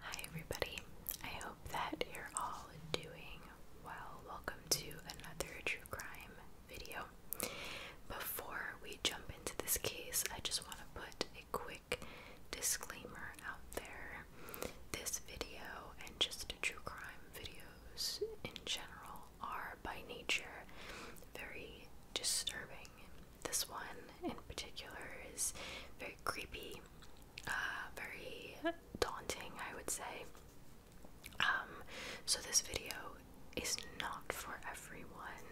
Hi, everybody. I hope that you're all doing well. Welcome to another true crime video. Before we jump into this case, I just want to put a quick disclaimer out there this video and just true crime videos in general are by nature very disturbing. This one in particular is very creepy, uh, very daunting, I would say. Um, so, this video is not for everyone.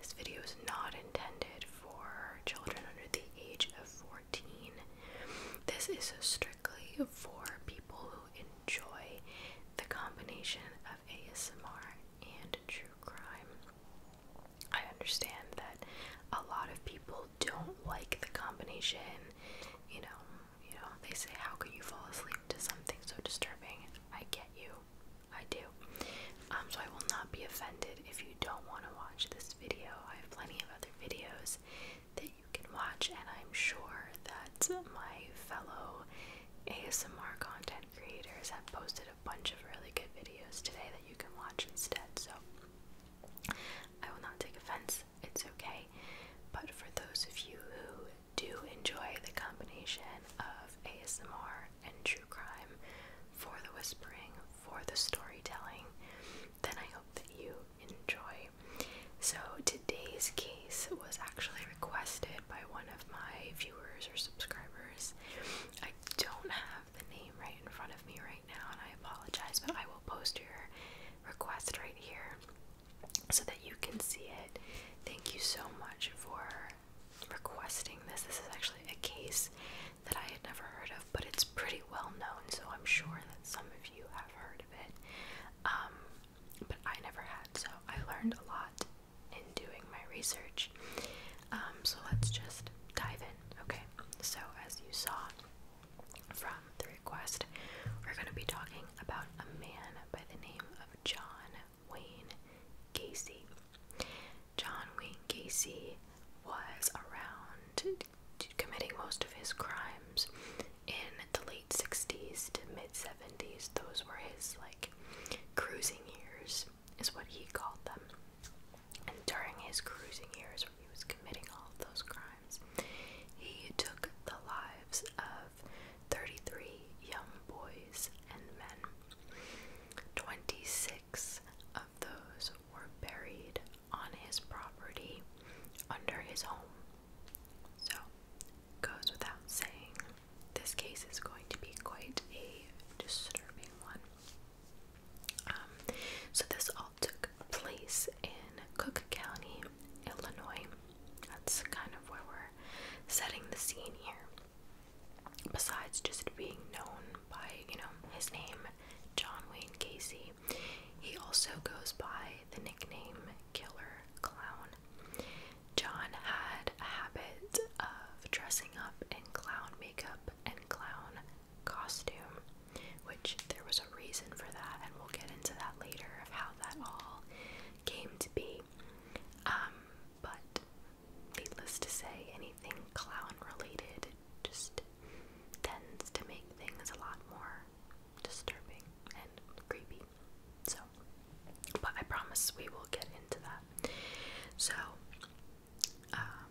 This video is not intended for children under the age of 14. This is a story for people who enjoy the combination of ASMR and true crime. I understand that a lot of people don't like the combination. You know, you know, they say how can you fall asleep to something so disturbing? I get you. I do. Um so I will not be offended if you don't want to watch this video. I have plenty of other videos that you can watch, and I'm sure that my fellow ASMR content creators have posted a bunch of really good videos today that you can watch instead. So I will not take offense, it's okay. But for those of you who do enjoy the combination of ASMR and true crime for the whispering, for the storytelling, then I hope that you enjoy. So, today's case was actually requested by one of my viewers or subscribers. I don't have the name right in front of me right now, and I apologize, but I will post your request right here so that you can see it. Thank you so much for requesting this. This is actually a case that I had never heard of, but it's pretty well known, so I'm sure that some of you have heard of it. Um, but I never had, so I learned a lot in doing my research. Um, so let's just dive in, okay? So, as you saw from the request, we're going to be talking about a man by the name of John Wayne Casey. John Wayne Casey was around to committing most of his crimes in the late 60s to mid 70s. Those were his like cruising years, is what he called them. And during his cruising years, when he was committing all of those crimes, he took the lives of 33 young boys and men. 26 of those were buried on his property under his home. So, goes without saying, this case is going to be quite a disturbing one. Um, so, this all took place in Cook County, Illinois. That's kind of where we're setting the scene here. Besides just being known by, you know, his name, John Wayne Casey, he also goes by the nickname Killer Clown. John had a habit of dressing up in clown makeup and clown costume, which there was a reason for that, and we'll get into that later of how that all came to be. Um, but needless to say, anything clown related just tends to make things a lot more disturbing and creepy. So, but I promise we will get into that. So, um,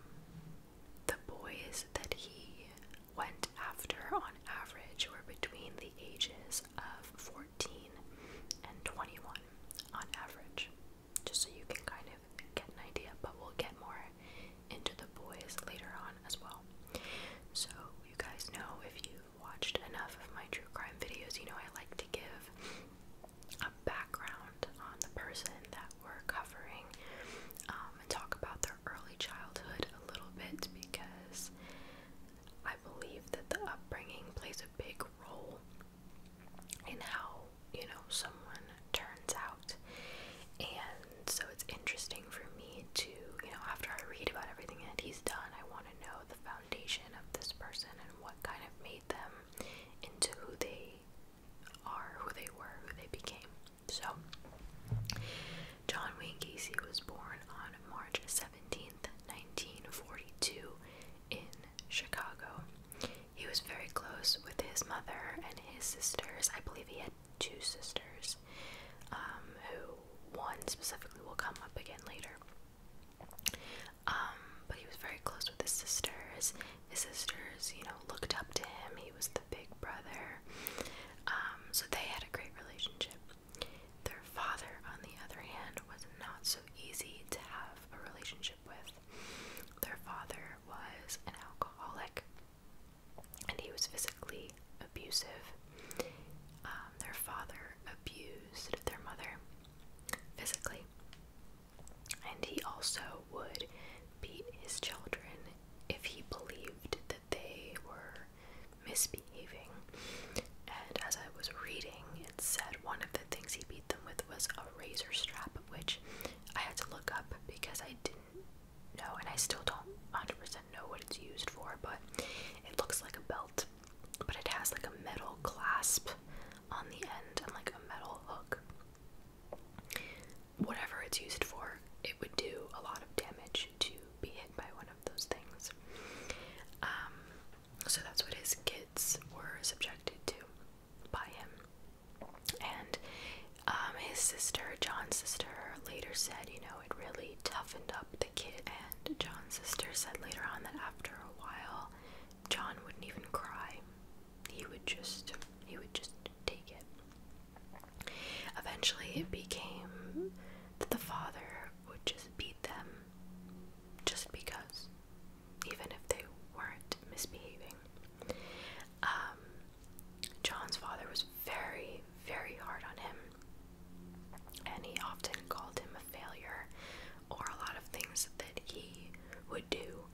the boys that he went after on average were between the ages of 14 and 21 on average. Just so you can kind of get an idea, but we'll get more into the boys later on as well. So, you guys know if you've watched enough of my true crime videos, you know I like to give a background on the person that we're covering um, and talk about their early childhood a little bit because I believe that the upbringing plays a big role in how, you know, someone turns out. And so it's interesting for me to you know after I read about everything that he's done, I want to know the foundation of this person and what kind of made them into who they are, who they were, who they became. So John Wayne Casey was born on March 17, 1942 in Chicago. He was very close with his mother and his sisters. I believe he had two sisters, um, who one specifically will come up again later. Um, but he was very close with his sisters. His sisters, you know, looked up to him. He was the big brother. Um, so they had a great relationship. Their father, on the other hand, was not so easy to have a relationship with. Their father was an alcoholic and he was physically abusive. Um, their father abused their mother physically, and he also would beat his children if he believed that they were misbehaving. And as I was reading, it said one of the things he beat them with was a razor strap, which I had to look up because I did no, and I still don't 100% know what it's used for, but it looks like a belt, but it has like a metal clasp on the end and like a metal hook. Whatever it's used for, it would do a lot of damage to be hit by one of those things. Um, so that's what his kids were subjected to by him. And um, his sister, John's sister, later said, you know, it really toughened up the kid. And John's sister said later on that after a while, John wouldn't even cry. He would just, he would just take it. Eventually, it became that the father would just beat them just because, even if they weren't misbehaving. Um, John's father was very, very hard on him and he often called him a failure, or a lot of things that he would do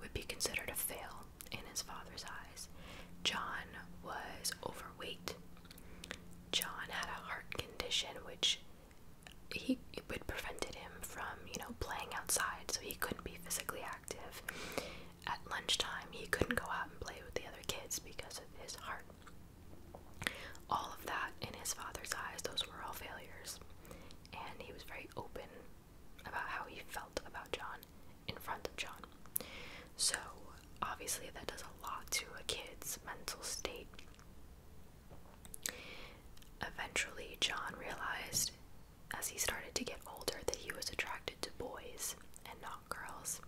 would be considered a fail in his father's eyes. John was overweight. John had a heart condition which he it prevented him from, you know, playing outside, so he couldn't be physically active. At lunchtime, he couldn't go out and play with the other kids because of his heart. All of that, in his father's eyes, those were all failures. And he was very open about how he felt about John in front of John. So, obviously, that does a lot to a kid's mental state. Eventually, John realized as he started to get older that he was attracted to boys and not girls,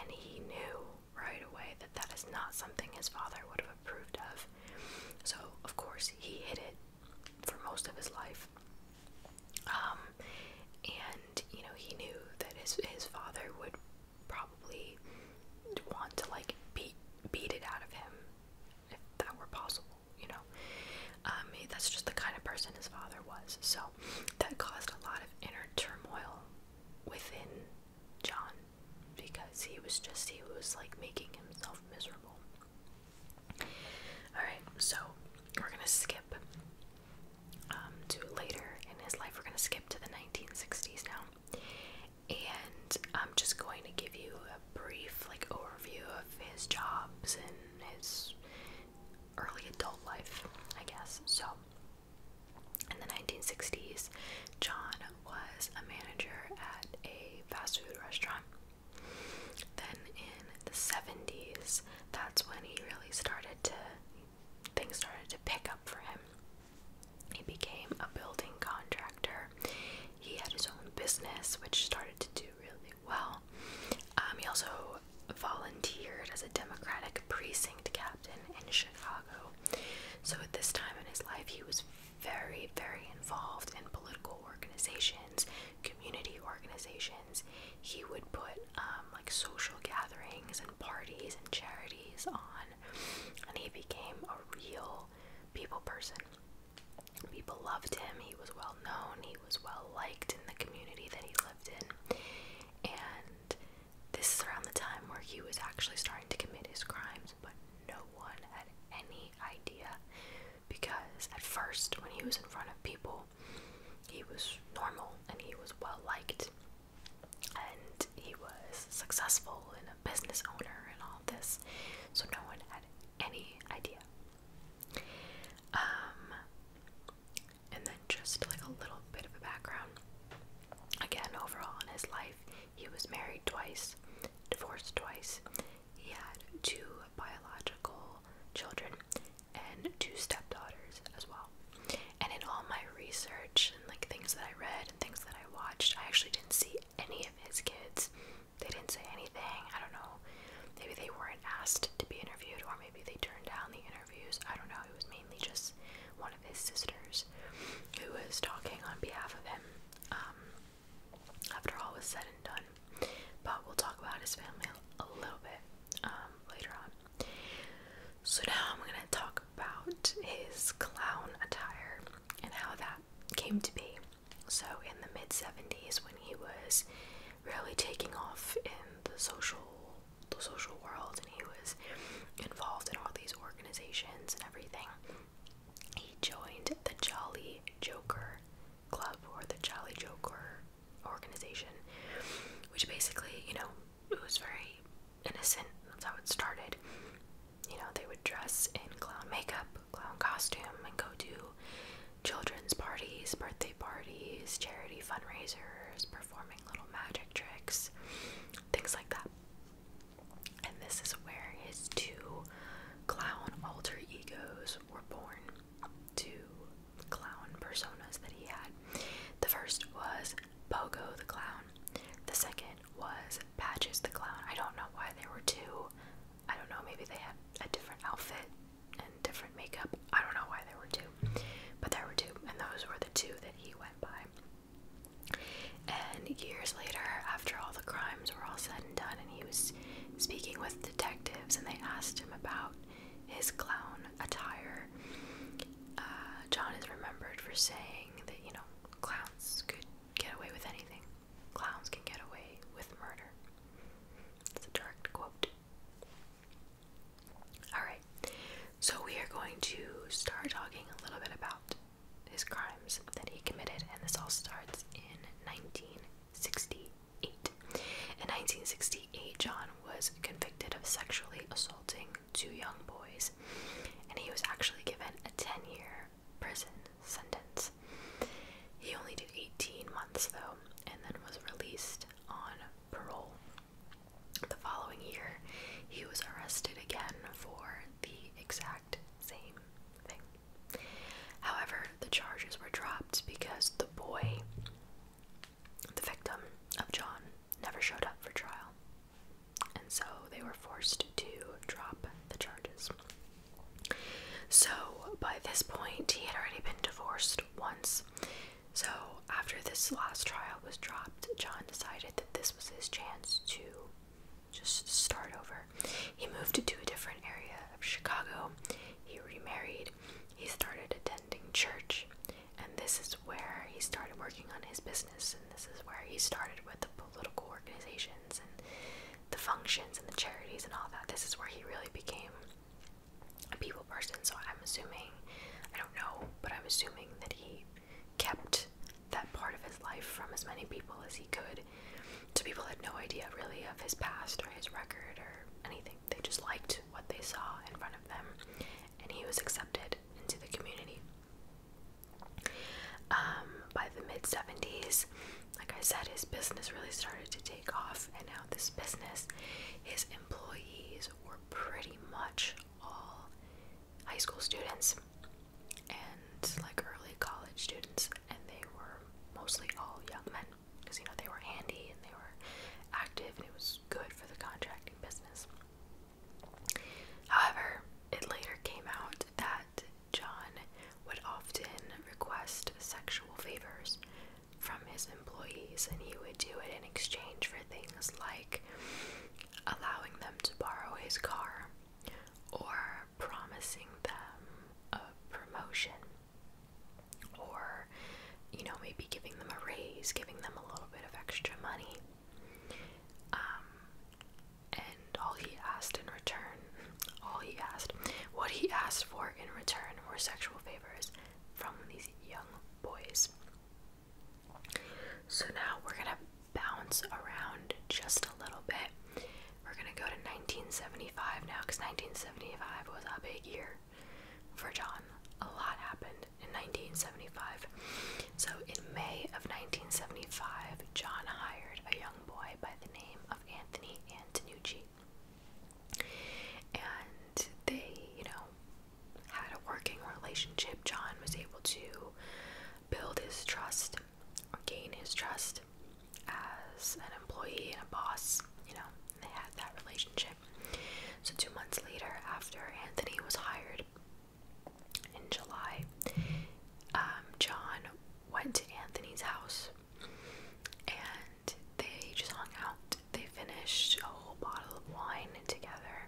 and he knew right away that that is not something his father would have approved of. So, of course, he hid it for most of his life. Um, and you know, he knew that his his father would probably want to like beat beat it out of him if that were possible, you know. Um, that's just the kind of person his father was. So that caused a lot of inner turmoil within John because he was just, he was like making himself miserable. Alright, so we're gonna skip um, to later in his life. We're gonna skip to the 1960s now. And I'm just going to give you a brief like overview of his jobs and his early adult life, I guess. So in the 1960s, John was a manager at a fast food restaurant. Then in the 70s, that's when he really started to things started to pick up for him. He became a building contractor. He had his own business, which started to do really well. Um, he also volunteered as a Democratic precinct captain in Chicago. So at this time in his life, he was very, very involved in political organizations, community organizations. He would put um, like social gatherings and parties and charities on, and he became a real people person. People loved him, he was well known, he was well liked in the community that he lived in, and this is around the time where he was actually starting to commit his crimes, but no one had any idea because at first, when he was in front of people, he was normal and he was well liked and he was successful and a business owner and all this, so no one had any idea. Um, and then just like a little bit of a background. Again, overall in his life, he was married twice, divorced twice. He had two biological children and two stepdaughters as well. And in all my research and like things that I read and things that I watched, I actually didn't see any of his kids. They didn't say anything. I don't know. Maybe they weren't asked to be interviewed, or maybe they turned down the interview. I don't know, it was mainly just one of his sisters who was talking on behalf of him um, after all was said and done. But we'll talk about his family a little bit um, later on. So now I'm going to talk about his clown attire and how that came to be. So, in the mid 70s, when he was really taking off in the social the social world and he was involved in all these organizations and everything. He joined the Jolly Joker Club or the Jolly Joker organization, which basically, you know, it was very innocent. That's how it started. You know, they would dress in clown makeup, clown costume, and go to children's parties, birthday parties, charity fundraisers, performing little magic tricks, things like that. And this is where his two clown alter egos were born, two clown personas that he had. The first was Pogo the Clown, the second was Patches the Clown. I don't know why there were two. I don't know, maybe they had a different outfit and different makeup. I don't know why there were two, but there were two, and those were the two that he went by. And years later, after all the crimes were all said and done, and he was speaking with detectives, and they asked him about his clown attire, uh, John is remembered for saying that, you know, clowns could get away with anything. Clowns can get away with murder. It's a direct quote. Alright, so we are going to start talking a little bit about his crimes that he committed, and this all starts in 1968. In 1968, John was convicted of sexually assaulting two young boys, and he was actually given a 10 year prison sentence. He only did 18 months though, and then was released on parole the following year, he was arrested again for the exact same thing. However, the charges were dropped because the boy, the victim of John, never showed up for trial. And so they were forced to drop the charges. So by this point, he had already been divorced once so, after this last trial was dropped, John decided that this was his chance to just start over. He moved to a different area of Chicago. He remarried. He started attending church. And this is where he started working on his business. And this is where he started with the political organizations and the functions and the charities and all that. This is where he really became a people person. So, I'm assuming, I don't know, but I'm assuming that he kept that part of his life from as many people as he could. So people had no idea really of his past or his record or anything. They just liked what they saw in front of them, and he was accepted into the community. Um, by the mid 70s, like I said, his business really started to take off, and now this business, his employees were pretty much all high school students and like early college students, and they were mostly all young men because you know they were handy and they were active, and it was good for the contracting business. However, it later came out that John would often request sexual favors from his employees, and he would do it in exchange for things like allowing them to borrow his car or promising them a promotion or you know maybe giving them a raise giving them a little bit of extra money um, and all he asked in return all he asked what he asked for in return were sexual favors from these young boys so now we're going to bounce around just a little bit. We're going to go to 1975 now because 1975 was a big year for John. A lot happened in 1975. So in May of 1975, John hired a young boy by the name of Anthony Antonucci. And they, you know, had a working relationship, John was able to build his trust or gain his trust as an employee and a boss. You know, they had that relationship. So, two months later, after Anthony was hired in July, um, John went to Anthony's house and they just hung out. They finished a whole bottle of wine together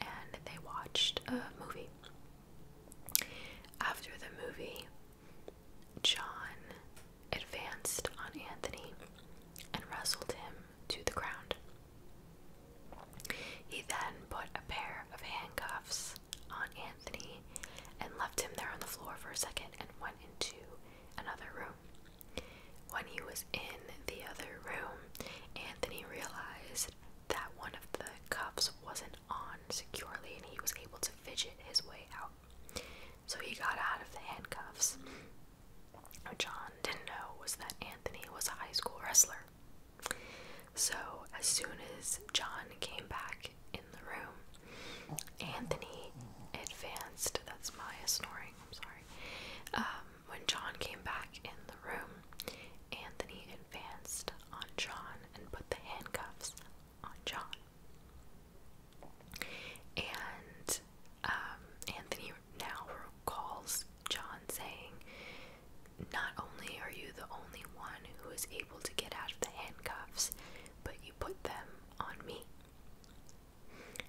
and they watched a movie. After the movie, John advanced on Anthony and wrestled him to the ground. He then put a pair of handcuffs on Anthony and left him there on the floor for a second and went into another room. When he was in the other room, Anthony realized that one of the cuffs wasn't on securely and he was able to fidget his way out. So he got out of the handcuffs. What John didn't know was that Anthony was a high school wrestler. So as soon as John came back in the room, Anthony advanced. That's Maya snoring, I'm sorry. Um, when John came back in the room, Anthony advanced on John and put the handcuffs on John. And um, Anthony now recalls John saying, Not only are you the only one who is able to get out of the handcuffs, but you put them on me.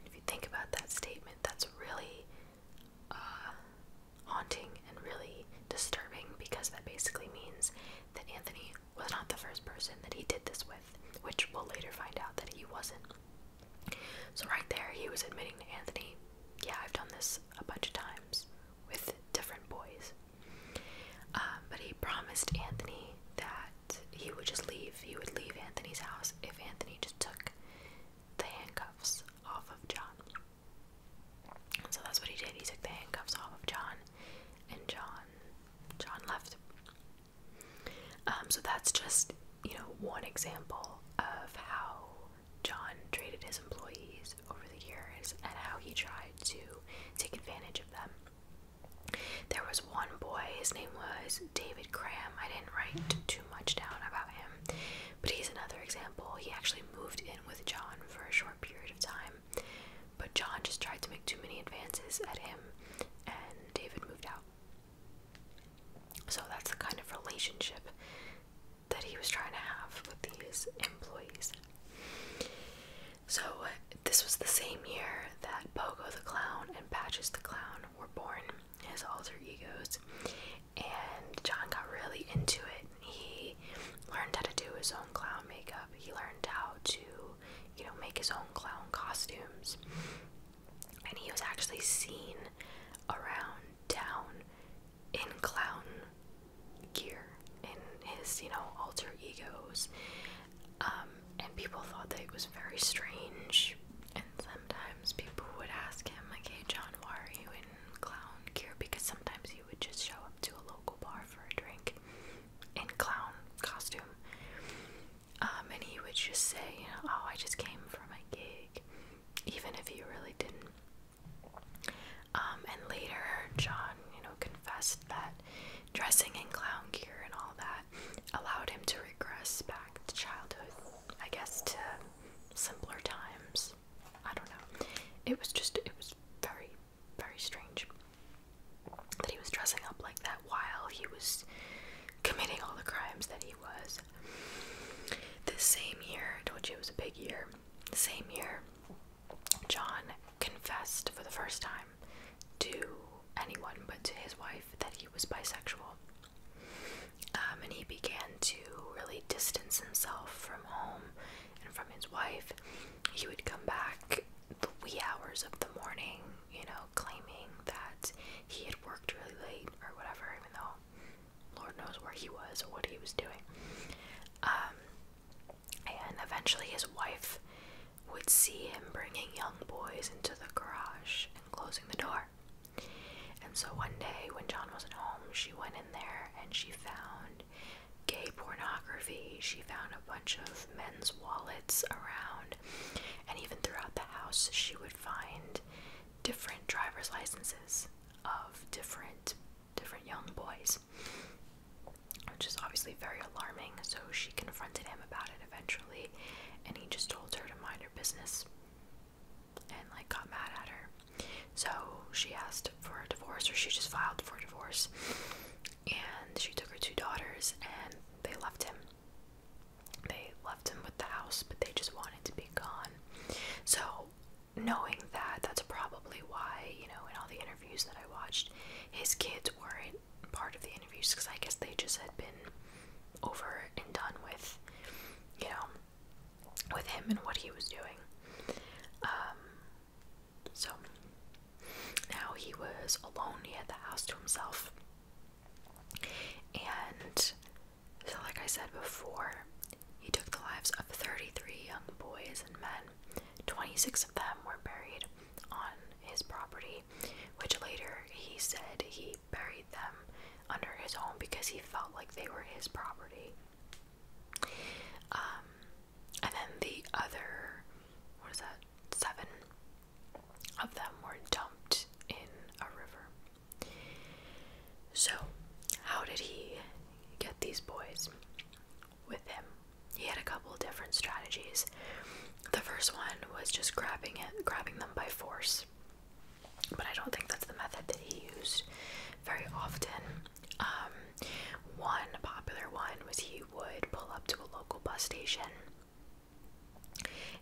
If you think about that statement, that's really uh, haunting and really disturbing because that basically means that Anthony was not the first person that he did this with, which we'll later find out that he wasn't. So, right there, he was admitting to Anthony, yeah, I've done this a bunch of times with different boys. Um, but he promised Anthony that he would just leave. He would leave Anthony's house if Anthony just took the handcuffs off of John. So that's what he did. He took the handcuffs off of John, and John, John left. Um, so that's just you know one example of how John treated his employees over the years and how he tried to take advantage of them. There was one boy, his name was David Graham. I didn't write too much down about him. But he's another example. He actually moved in with John for a short period of time, but John just tried to make too many advances at him, and David moved out. So that's the kind of relationship that he was trying to have with these employees. So, uh, this was the same year that Pogo the Clown and Patches the Clown were born, as alter egos, and John got really into it. He learned how to do his own clown makeup. He learned how to, you know, make his own clown costumes. And he was actually seen around town in clown gear, in his, you know, alter egos. Um, and people thought that it was very strange. And sometimes people would ask him, like, hey, John, why are you in?" clown gear because sometimes you would just show up to a local bar for a drink in clown costume. Um, and he would just say, you know, oh, I just came for my gig, even if he really didn't. Um, and later, John, you know, confessed that dressing in clown gear and all that allowed him to regress back to childhood, I guess, to simpler times. I don't know. It was just it was very very strange that he was dressing up like that while he was committing all the crimes that he was. This same year, I told you it was a big year. The same year, John confessed for the first time to anyone but to his wife that he was bisexual. Um, and he began to really distance himself from home and from his wife. He would come back the wee hours of the morning, you know, claiming that he had worked really late or whatever, even though Lord knows where he was or what he was doing. Um, and eventually his wife would see him bringing young boys into the garage and closing the door. And so one day when John wasn't home, she went in there and she found gay pornography. She found a bunch of men's wallets around. And even throughout the house, she would find different driver's licenses of different different young boys. Which is obviously very alarming, so she confronted him about it eventually, and he just told her to mind her business and like got mad at her. So she asked for a divorce, or she just filed for a divorce. And she took her two daughters, and they left him. They left him with the house, but they just wanted to be gone. So, knowing that, that's probably why, you know, in all the interviews that I watched, his kids weren't part of the interviews because I guess they just had been over and done with, you know with him and what he was doing. Um, so now he was alone, he had the house to himself. And so, like I said before, he took the lives of 33 young boys and men. 26 of them were buried on his property, which later he said he buried them under his home because he felt like they were his property. Um, and then the other, what is that, seven of them were dumped in a river. So, how did he get these boys with him? He had a couple different strategies. The first one was just grabbing it, grabbing them by force but I don't think that's the method that he used very often. Um, one popular one was he would pull up to a local bus station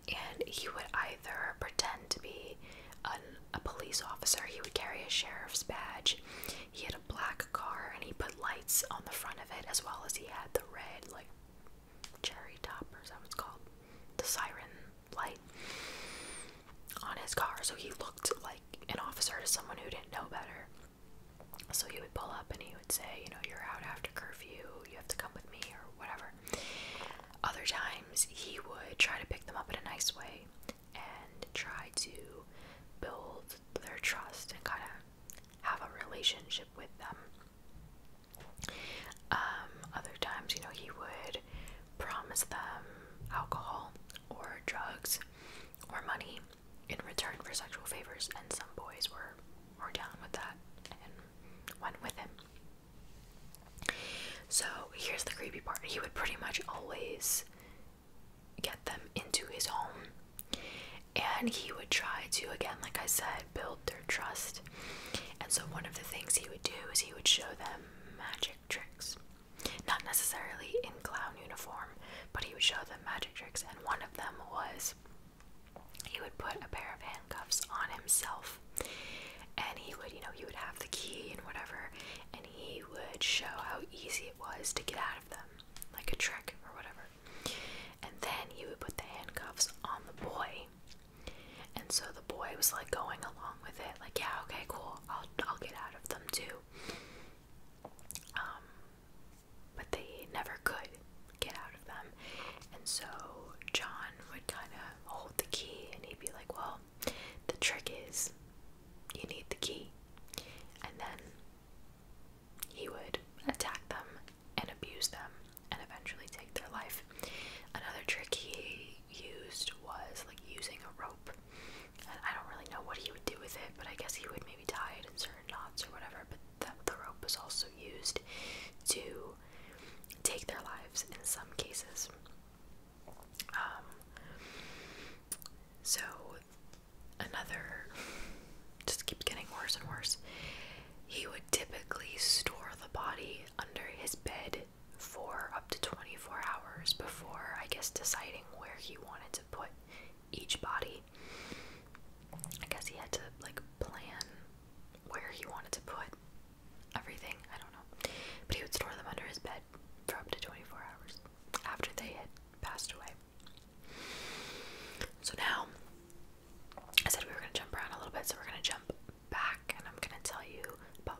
and he would either pretend to be an, a police officer, he would carry a sheriff's badge, he had a black car, and he put lights on the front of it as well as he had the red, like cherry top or something it's called, the siren light on his car. So he looked like an officer to someone who didn't know better. So he would pull up and he would say, you know, you're out after curfew, you have to come with me, or whatever. Other times he would try to pick them up in a nice way and try to build their trust and kind of have a relationship with them. Um, other times, you know, he would promise them alcohol or drugs or money in return for sexual favors, and some boys were, were down with that and went with him. So here's the creepy part he would pretty much always get them into his home, and he would try to, again, like I said, build their trust. And so, one of the things he would do is he would show them magic tricks. Not necessarily in clown uniform, but he would show them magic tricks, and one of them was he would put a pair of handcuffs on himself, and he would, you know, he would have the key and whatever, and he would show how easy it was to get out of them, like a trick or whatever. And then he would put the handcuffs on the boy. And so the boy was like going along with it, like, yeah, okay, cool, I'll, I'll get out of them too. Um, but they never could get out of them. And so John would kind of hold the key and he'd be like, Well, the trick is you need the key. And then he would attack them and abuse them and eventually take their life. Another trick he used was like using a rope I don't really know what he would do with it, but I guess he would maybe tie it in certain knots or whatever. But the, rope was also used to take their lives in some cases. Um, so another just keeps getting worse and worse. He would typically store the body under his bed for up to 24 hours before, I guess, deciding where he wanted to put each body. I guess he had to, like, plan where he wanted to put everything. I don't know. But he would store them under his bed for up to 24 hours after they had passed away. So now, I said we were going to jump around a little bit, so we're going to jump back and I'm going to tell you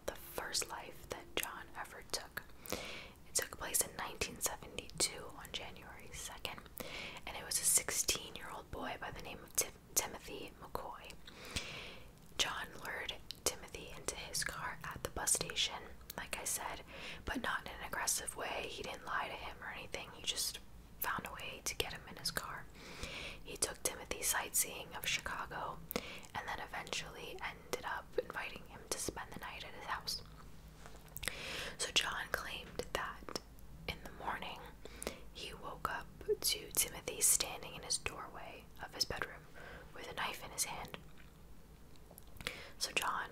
the first life that John ever took. It took place in 1972 on January 2nd, and it was a 16 year old boy by the name of Timothy McCoy. John lured Timothy into his car at the bus station, like I said, but not in an aggressive way. He didn't lie to him or anything, he just found a way to get him in his car. He took Timothy sightseeing of Chicago and then eventually ended up inviting him to spend the night at his house. So John claimed that in the morning he woke up to Timothy standing in his doorway of his bedroom with a knife in his hand. So John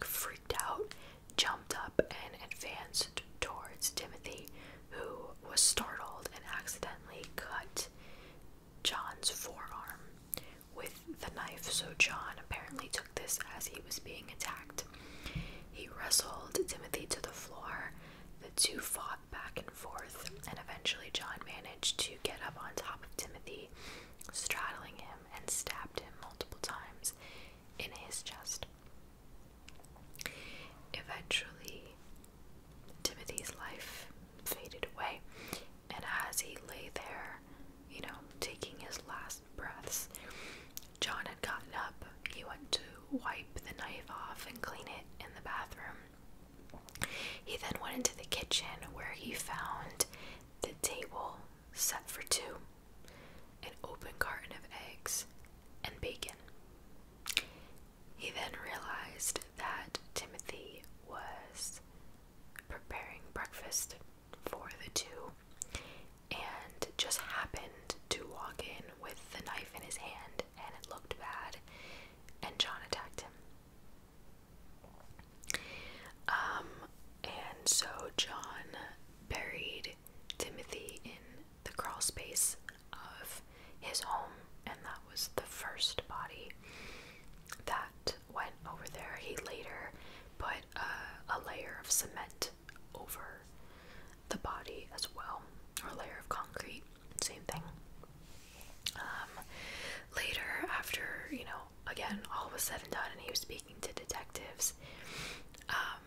freaked out, jumped up, and advanced towards Timothy, who was startled and accidentally cut John's forearm with the knife, so John apparently took this as he was being attacked. He wrestled Timothy to the floor. The two fought back and forth, and eventually John managed to get up on top of Timothy, straddling him, and stabbed him multiple times in his chest. Eventually, Timothy's life faded away, and as he lay there, you know, taking his last breaths, John had gotten up. He went to wipe the knife off and clean it in the bathroom. He then went into the kitchen where he found the table set for two, an open carton of eggs, and bacon. He then realized that Timothy was preparing breakfast for the two and just happened to walk in with the knife in his hand and it looked bad and John attacked him. Um and so John buried Timothy in the crawl space of his home and that was the first body that went over there. He later put uh, a layer of cement over the body as well, or layer of concrete, same thing. Um, later, after you know, again, all was said and done, and he was speaking to detectives. Um,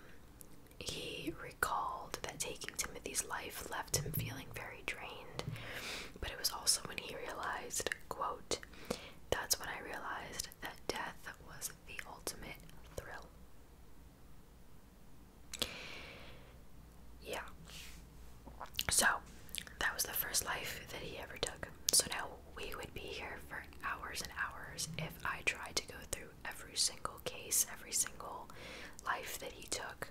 he recalled that taking Timothy's life left him feeling very drained. But it was also when he realized, quote, that's when I realized that death was the ultimate thrill. Yeah. So, that was the first life that he ever took. So now we would be here for hours and hours if I tried to go through every single case, every single life that he took.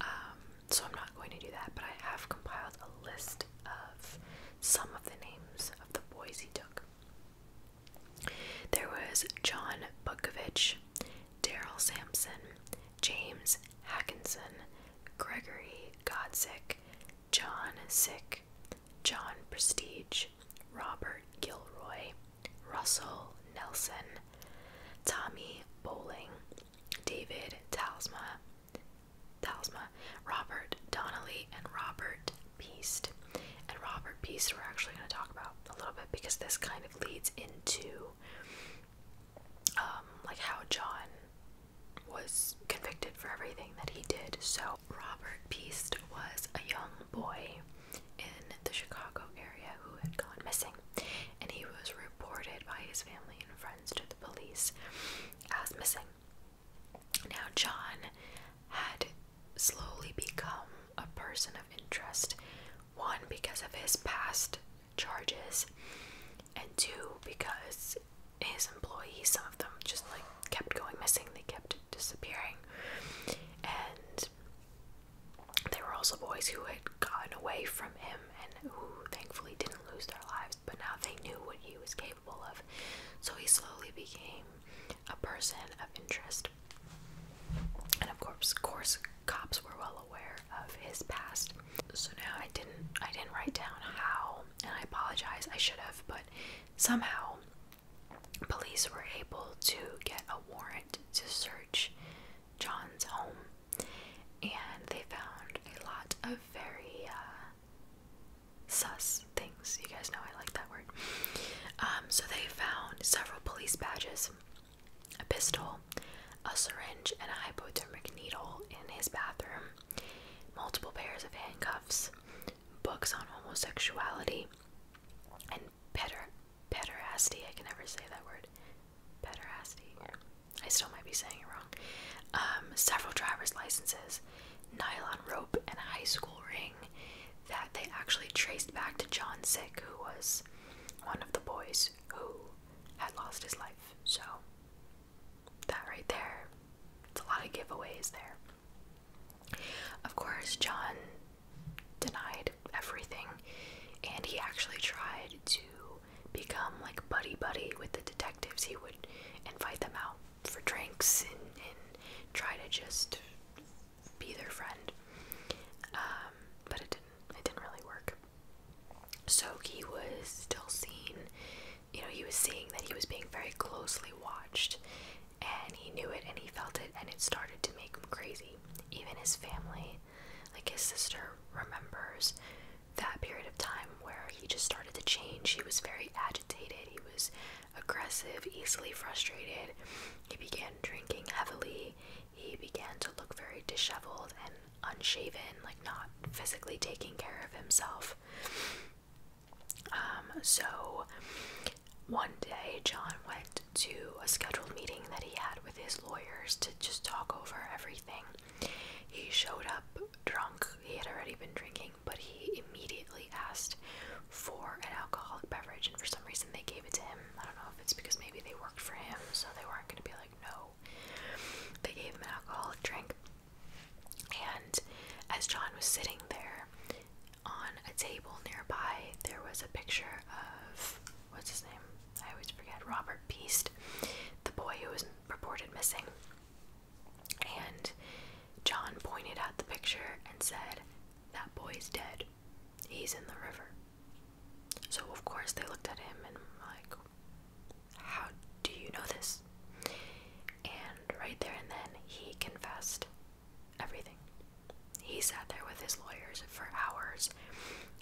Um, so I'm not going to do that, but I have compiled a list of some of the names of the boys he took. There was John Bukovich, Daryl Sampson, James Hackinson, Gregory Godzik, John Sick, John Prestige, Robert Gilroy, Russell Nelson, Tommy Bowling, David Talsma, Talsma, Robert Donnelly, and Robert Peast. And Robert Peast, we're actually going to talk about a little bit because this kind of leads into um, like how John was convicted for everything that he did. So Robert Peast was a young boy in the Chicago area who had gone missing, and he was reported by his family and friends to the police as missing. Now, John had slowly become a person of interest, one, because of his past charges, and two, because his employees, some of them just like kept going missing, they kept disappearing. And there were also boys who had gotten away from him and who thankfully didn't lose their lives but now they knew what he was capable of, so he slowly became a person of interest. And of course, of course, cops were well aware of his past. So now I didn't, I didn't write down how, and I apologize, I should have, but somehow police were able to get a warrant to search John's home and they found a lot of very uh, sus things. You guys know I like that word. Um, so they found several police badges, a pistol, a syringe, and a hypodermic needle in his bathroom, multiple pairs of handcuffs, books on homosexuality, and peder pederasty. I can never say that word. Pederasty. I still might be saying it wrong. Um, several driver's licenses, nylon rope, and a high school ring that they actually traced back to John Sick, who was one of the boys who had lost his life. So, that right there, it's a lot of giveaways there. Of course, John denied everything, and he actually tried to become like buddy buddy with the detectives. He would invite them out for drinks and, try to just be their friend. Um, but it didn't it didn't really work. So he was still seeing. you know, he was seeing that he was being very closely watched and he knew it and he felt it and it started to make him crazy. Even his family, like his sister remembers that period of time where he just started to change. He was very agitated, he was aggressive, easily frustrated. He began drinking heavily, he began to look very disheveled and unshaven, like not physically taking care of himself. Um, so one day, John went to a scheduled meeting that he had with his lawyers to just talk over everything. He showed up drunk. He had already been drinking, but he immediately asked for an alcoholic beverage, and for some reason they gave it to him. I don't know if it's because maybe they worked for him, so they weren't going to be like, no. They gave him an alcoholic drink. And as John was sitting there on a table nearby, there was a picture of what's his name? I always forget. Robert Beast, the boy who was reported missing. And John pointed at the picture and said, That boy's dead. He's in the river. So, of course, they looked at him and, like, how do you know this? And right there and then, he confessed everything. He sat there with his lawyers for hours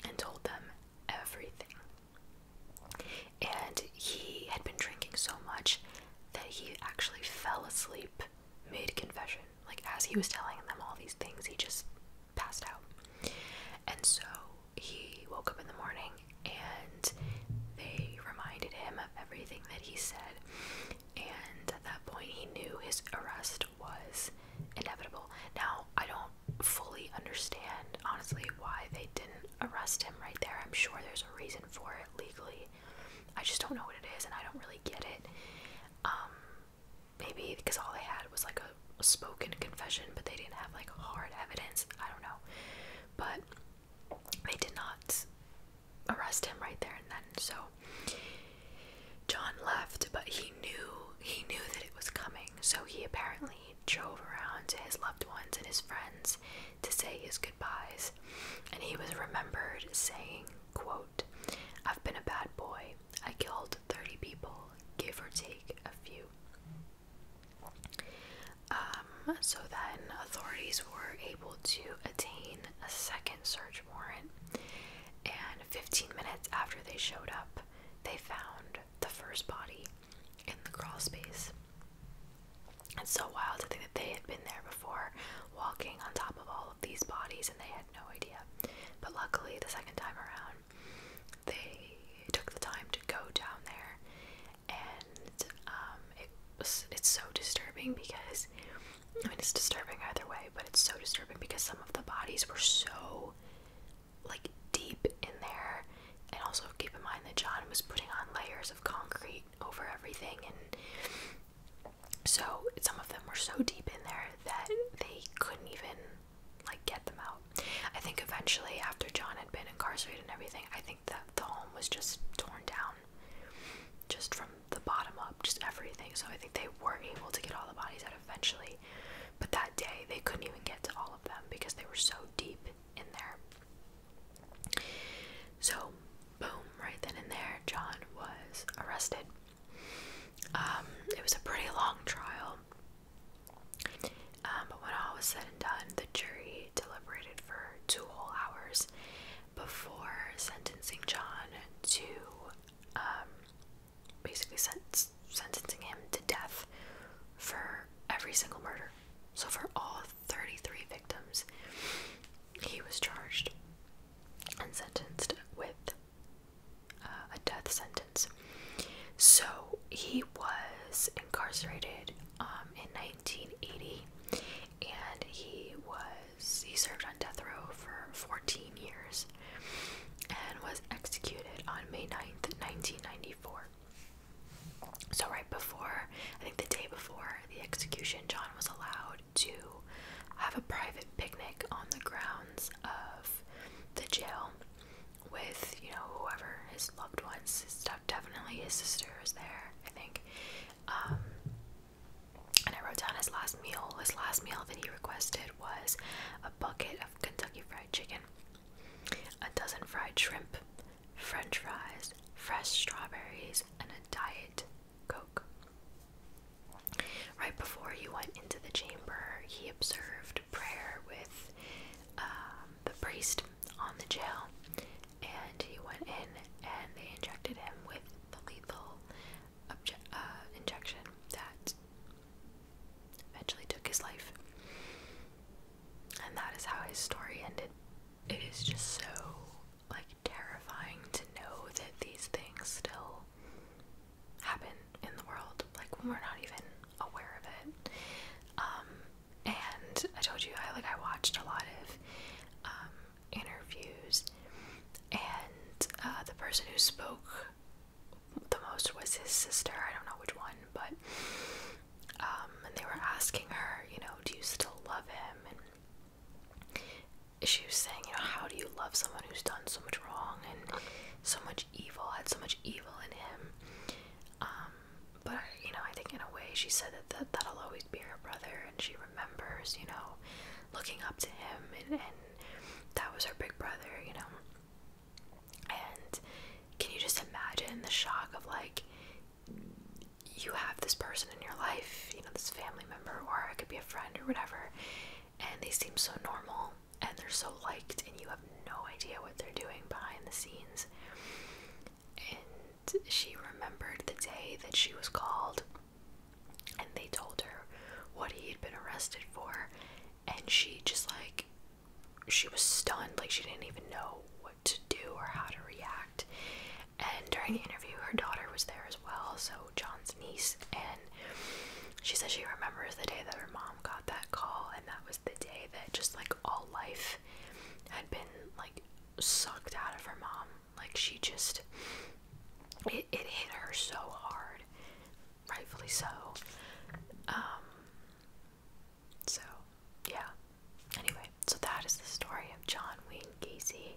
and told them everything. And he had been drinking so much that he actually fell asleep mid confession. Like, as he was telling them all these things, he just passed out. And so he woke up in the morning and they reminded him of everything that he said. And at that point, he knew his arrest was inevitable. Now, I don't fully understand, honestly, why they did arrest him right there. I'm sure there's a reason for it legally. I just don't know what it is and I don't really get it. Um, maybe because all they had was like a spoken confession, but they didn't have like hard evidence. I don't know. But they did not arrest him right there and then. So John left, but he knew he knew that it was coming. So he apparently he drove around to his loved ones and his friends to say his goodbyes, and he was remembered saying, quote, I've been a bad boy. I killed 30 people, give or take a few. Um, so then authorities were able to attain a second search warrant, and 15 minutes after they showed up, they found the first body in the crawlspace. It's so wild to think that they had been there before, walking on top of all of these bodies, and they had no idea. But luckily, the second time around, they took the time to go down there, and um, it was, it's so disturbing because I mean, it's disturbing either way, but it's so disturbing because some of the bodies were so like deep in there and also keep in mind that John was putting on layers of concrete over everything, and so some of them were so deep in there that they couldn't even like get them out. I think eventually, after John had been incarcerated and everything, I think that the home was just torn down, just from the bottom up, just everything. So I think they were able to get all the bodies out eventually, but that day they couldn't even get to all of them because they were so deep in there. So, boom, right then and there, John was arrested. Um, it was a pretty long trial. Um, but when all was said and done, the jury deliberated for two whole hours before sentencing John to um, basically sentencing him to death for every single murder. So, for all 33 victims. He was charged and sentenced with uh, a death sentence. So he was incarcerated um, in 1980 and he was he served on death row for 14 years and was executed on May 9th, 1994. So, right before, I think the day before the execution, John was allowed to have a private picnic on the grounds of the jail with, you know, whoever his loved ones, his Definitely his sister was there, I think. Um, and I wrote down his last meal. His last meal that he requested was a bucket of Kentucky Fried Chicken, a dozen fried shrimp, french fries, fresh strawberries, and a diet coke. Right before he went into the chamber, he observed prayer with um, the priest on the jail, and he went in and they injected him with the lethal uh, injection that eventually took his life. And that is how his story ended it is just so like terrifying to know that these things still happen in the world like when we're not even aware of it um, and i told you i like i watched a lot of um, interviews and uh, the person who spoke the most was his sister i don't know which one but um, and they were asking her, you know, do you still love him? And she was saying, you know, how do you love someone who's done so much wrong and so much evil, had so much evil in him? Um, but, you know, I think in a way she said that, that that'll always be her brother, and she remembers, you know, looking up to him, and that was her big brother, you know. And can you just imagine the shock of like you have this person in your life, you know, this family member, or it could be a friend or whatever, and they seem so normal and they're so liked, and you have no idea what they're doing behind the scenes. And she remembered the day that she was called, and they told her what he had been arrested for, and she just like, she was stunned, like, she didn't even know what to do or how to react and during the interview, her daughter was there as well, so John's niece, and she says she remembers the day that her mom got that call, and that was the day that just like all life had been like sucked out of her mom. Like she just, it, it hit her so hard, rightfully so. Um, so, yeah. Anyway, so that is the story of John Wayne Gacy.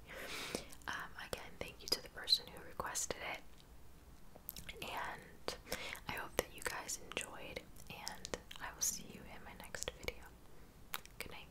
Um, again, thank you to the person who requested it. And I hope that you guys enjoyed, and I will see you in my next video. Good night.